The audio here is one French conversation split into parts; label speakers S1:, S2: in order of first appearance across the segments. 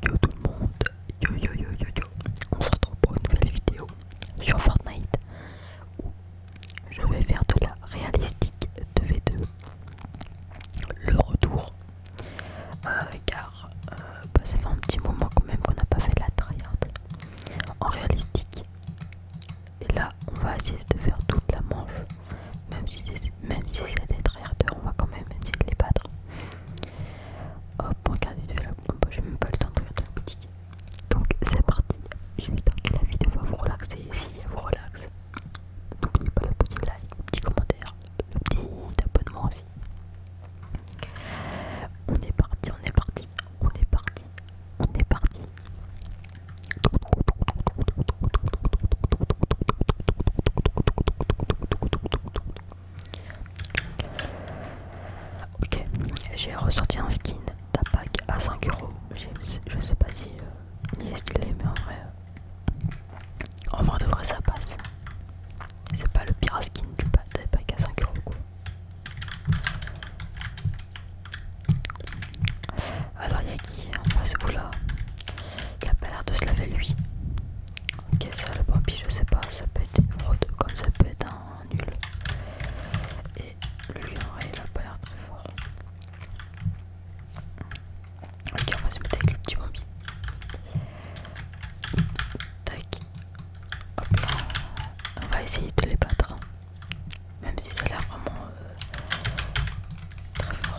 S1: Yo tout le monde, yo yo yo yo yo, on se retrouve pour une nouvelle vidéo sur Fortnite où je vais faire de la réalistique de v 2 le retour, euh, car euh, bah, ça fait un petit moment quand même qu'on n'a pas fait de la tryhard en réalistique et là on va essayer de faire toute la manche même si c'est même si des on va quand même essayer de les battre. Hop, on regarde la j'ai même pas le temps de regarder un boutique. Donc c'est parti, j'espère que la vidéo va vous relaxer, si elle vous relaxe, n'oubliez pas le petit like, le petit commentaire, le petit abonnement aussi. On est parti, on est parti, on est parti, on est parti. Ok, j'ai ressorti un skin pack à 5 euros. Je sais pas si euh, il est stylé, mais en vrai, euh, en vrai ça passe. C'est pas le pire skin du pack à 5 euros. Alors, il y a qui en face là il a pas l'air de se laver lui. Ok, ça le bambi je sais pas, ça peut être une fraude comme ça peut être un nul. Et lui en vrai il a pas l'air très fort. Ok on va se mettre avec le petit Bambi. Tac. Hop là. On va essayer de les battre. Hein. Même si ça a l'air vraiment euh, très fort.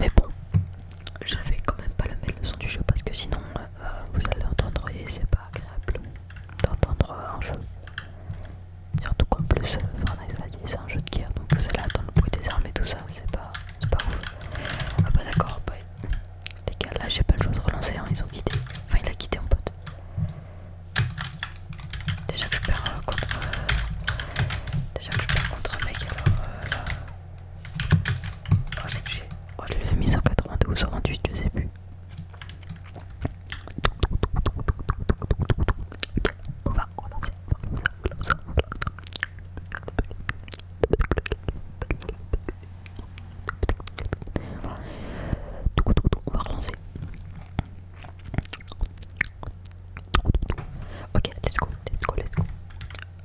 S1: Mais bon, je vais quand même pas le mettre le son du jeu parce que sinon euh, vous allez entendre et c'est pas agréable d'entendre un jeu. Surtout qu'en plus euh, Fortnite l'a dit c'est un jeu de guerre donc vous allez attendre le bruit des armes et tout ça, c'est pas, pas ouf. Ah bah d'accord, bah, les gars là j'ai pas le choix de relancer, hein, ils ont quitté. Enfin il a quitté mon pote. Déjà que je perds euh, contre. Euh, déjà que je perds contre un mec, alors euh, là. Oh, j'ai touché Oh, je mis en 92 ou 28, je sais plus. On va relancer. relancer, relancer. On va relancer. Ok, let's go, let's go, let's go.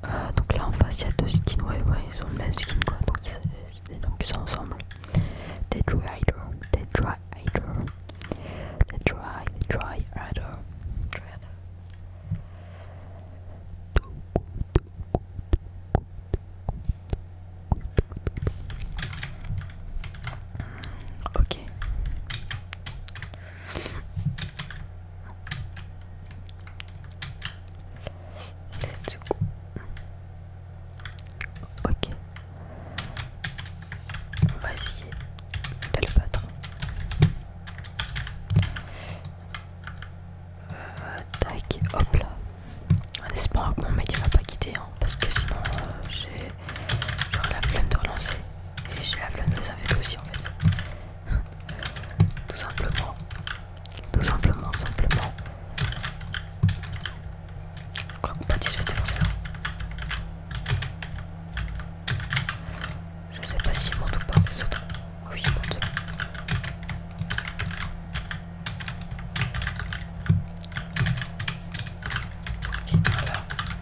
S1: Euh, donc là en face il y a deux skins, ouais, ouais, ils ont le même skin quoi, donc, c'est donc ils sont ensemble. They try either, they try either, they try, they Dry either. Ok. Ok. On va essayer de le battre. Euh, tac, hop là. En espérant que mon mec il va pas quitter, hein, parce que sinon euh, j'ai J'aurais la flemme de relancer. Et j'ai la flemme de les inviter aussi en fait. tout simplement. Tout simplement, simplement. Je crois qu'on va discuter dans cela. Je sais pas s'il monte ou pas, mais ça Ah oui, il monte. Ok, voilà.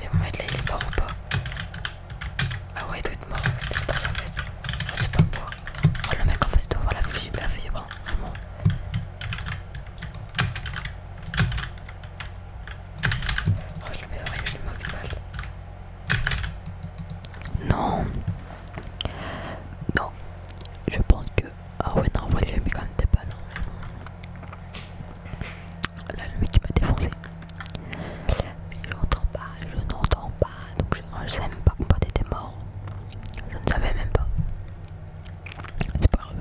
S1: Mais mon mec là il est mort ou pas Ah ouais il doit être mort, c'est pas en fait. Ah, c'est pas moi. Oh le mec en face doit avoir la fille la fibre, vraiment. Oh je le mets rien, il manque balle. Non Non Je pense que... Ah ouais non, en vrai il a mis quand même des balles. Là, lui qui m'a défoncé. Mais je n'entends pas, je n'entends pas. Donc je ne même pas que t'étais mort. Je ne savais même pas. C'est pas grave.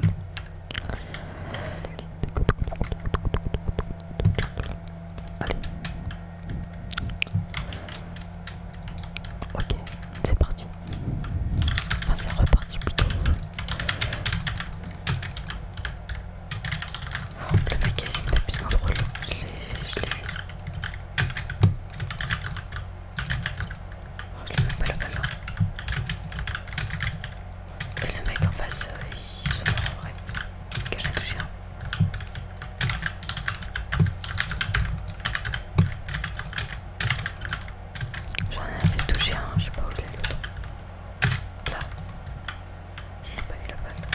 S1: Allez. Ok, c'est parti. Enfin, c'est reparti plutôt. Oh, le magazine de Piscine drôle, je l'ai vu. Oh, je l'ai même pas là-bas. Et le mec en face, euh, il se mange en vrai. Que je l'ai touché un. Hein. J'en avais tout chiant, hein, je sais pas où est l'autre. Là. je n'ai pas eu la balle.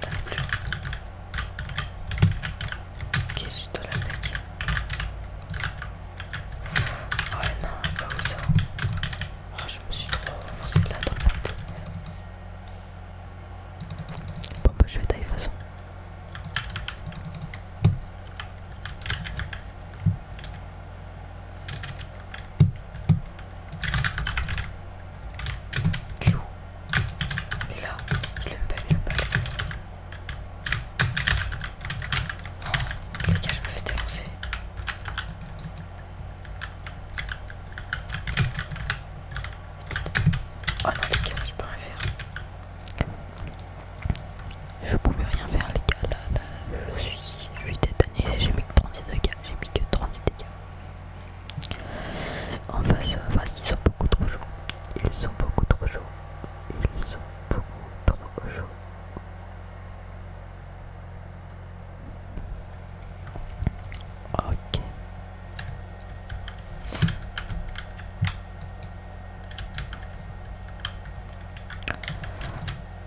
S1: t'as non plus. Ok, je dois la mettre. Ouais, non, pas où ça. je me suis trop avancé là dans le Pourquoi Bon, bah, je vais tailler de façon. Clou. Et là, je l'aime pas, oh, je me fais défoncer. Oh non, les gars, je peux rien faire je pouvais rien faire les gars là, je suis je suis j'ai mis que 36 dégâts j'ai mis que 30 dégâts en face en face ils sont beaucoup trop chauds ils sont beaucoup trop chauds ils sont beaucoup trop chauds Ok.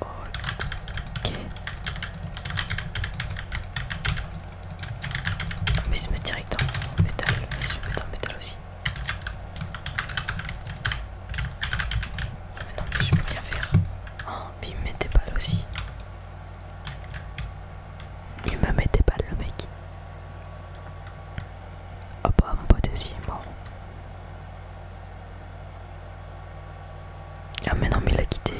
S1: Ok. Mais je se met directement en métal. vas je vais mettre en métal aussi. Ah, mais non, mais je peux rien faire. Oh, mais il me met des balles aussi. Il me met des balles, le mec. Ah oh bah, mon pote aussi est mort. Ah mais non mais il a quitté.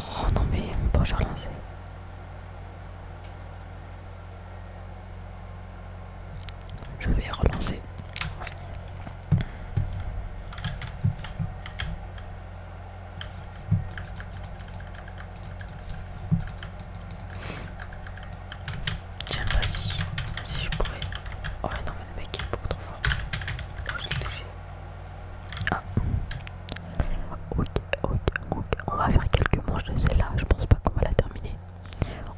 S1: Oh non mais bon je relance. Je vais relancer. Tiens pas si, si je pourrais. Oh non mais le mec il est beaucoup trop fort. touché. Ah. Ok, ok, ok. On va faire quelques manches de celle-là. Je pense pas qu'on va la terminer.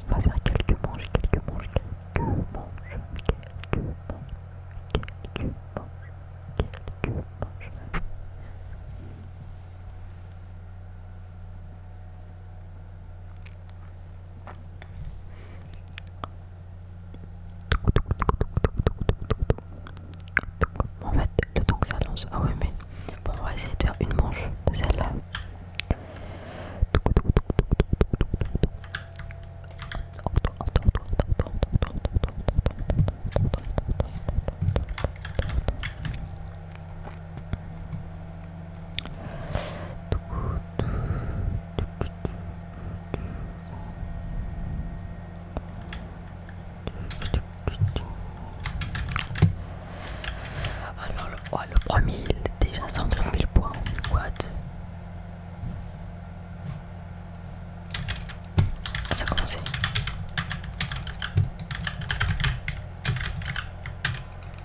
S1: On va faire quelques manches, quelques manches, quelques manches, quelques manches, quelques manches, quelques manches. En fait, le temps que ça lance. Ah ouais, mais on va essayer de faire une manche de celle-là. Alors, le, oh, le premier, il est déjà 100 000 points. What? Ah, ça a commencé.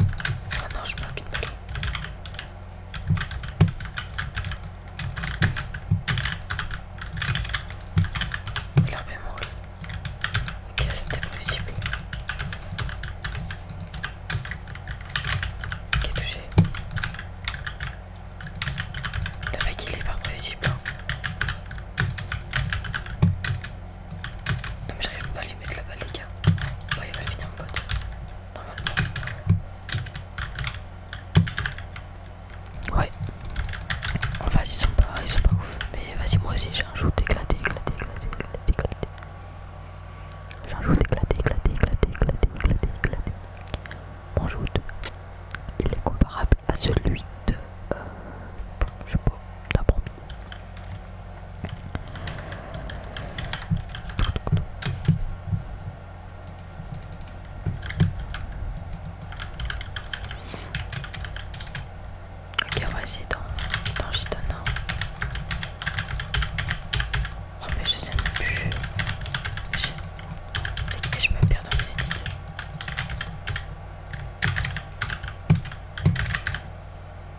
S1: Oh non, je manque une balle. Il a même roulé. Ok, c'était prévisible. Qui est touché Le mec il est pas prévisible. Hein. Non mais j'arrive pas à lui mettre la balle les gars. Ouais il va finir en code. Normalement. Ouais. Enfin ils sont pas, ils sont pas ouf. Mais vas-y moi aussi j'ai un déclaté, éclaté, éclaté, éclaté, éclaté, éclaté. J'ai un éclaté, éclaté, éclaté, éclaté, éclaté, Mon joute Il est comparable à celui de... Euh, je sais pas, D'abord. Ok, on dans le d'en jeter un. Oh, mais je sais même plus. je me perds dans mes études.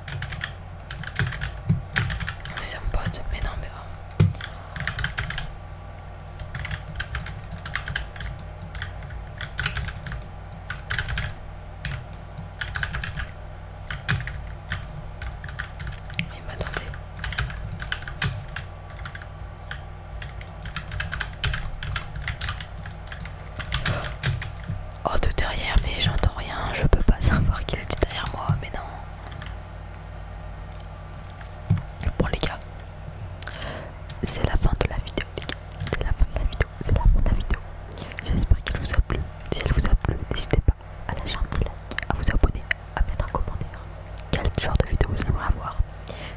S1: Ah, mais c'est un pote, mais non, mais oh. Il m'attendait. Oh, de derrière, mais j'entends rien. Je peux pas savoir qui était derrière moi, mais non. Bon, les gars, c'est la fin de la vidéo, les gars. C'est la fin de la vidéo, c'est la fin de la vidéo. J'espère qu'elle vous a plu. Si elle vous a plu, n'hésitez pas à lâcher un pouce à vous abonner, à mettre un commentaire. Quel genre de vidéo vous aimeriez avoir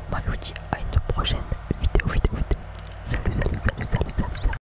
S1: Moi, je vous dis à une prochaine vidéo, vidéo, vidéo. Salut, salut, salut, salut, salut, salut.